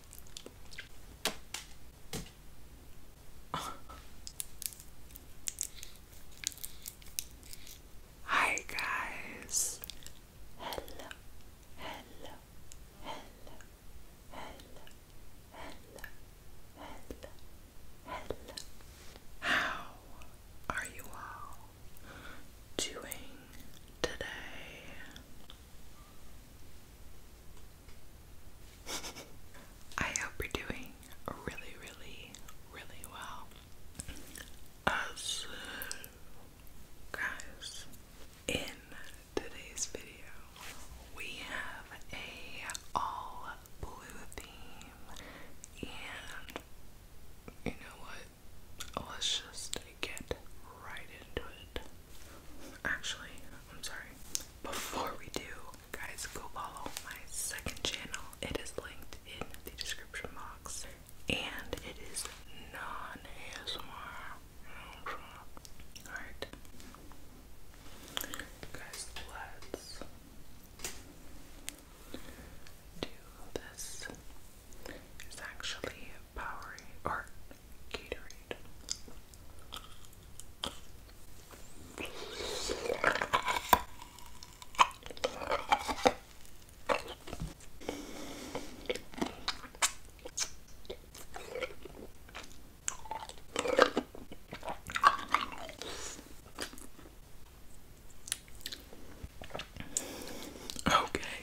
Hi guys. Hello. Hello. Hello. Hello. Hello. Hello. Hello. How are you all doing today? I hope you're doing really, really, really well. As guys, in today's video, we have a all blue theme, and you know what? let's just get right into it. Actually, I'm sorry. Before we do, guys, go follow my second channel. It is linked in the description box, and it is non ASMR. Alright. Guys, let's do this. It's actually Powerade or Gatorade. Okay,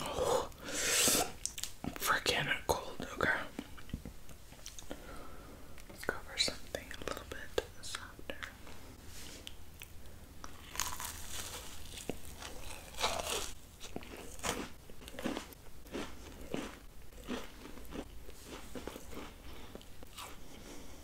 Oh, freaking cold, okay. Let's go for something a little bit softer.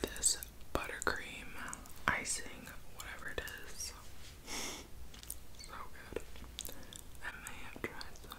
This buttercream icing, whatever it is, so good. I may have tried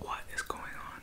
what is going on?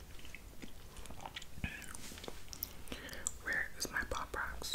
Where is my pop rocks?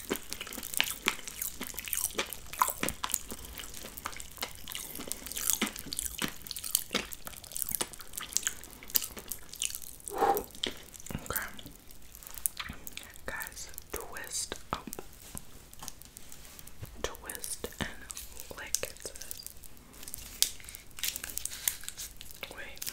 Okay. Guys, twist Twist and lick it Wait.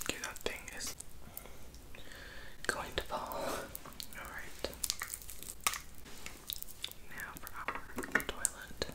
Okay, that thing is going to fall. Alright. Now for our toilet.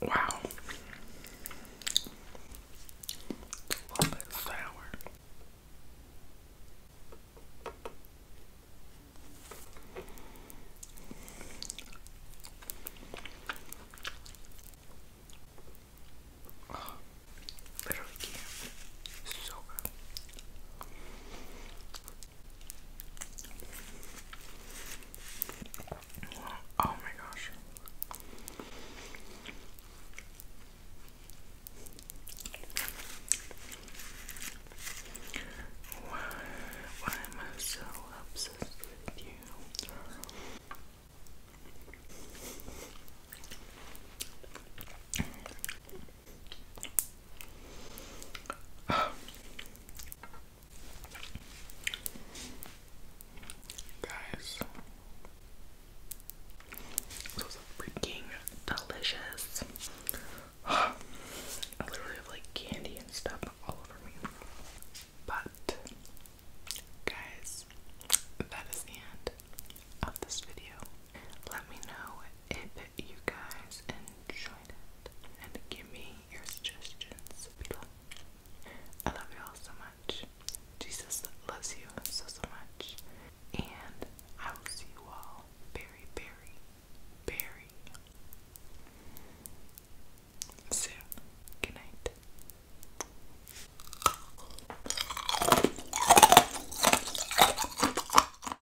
Wow. It's a little bit sour. literally So good. Oh my gosh. Why, why am I so obsessed with you? Um, guys, those are freaking delicious. I literally have like candy and stuff all over me. But, guys, that is the end of this video. Let me know if you guys enjoyed and give me your suggestions below. I love you all so much. Jesus loves you so, so much. And I will see you all very, very, very soon. Good night.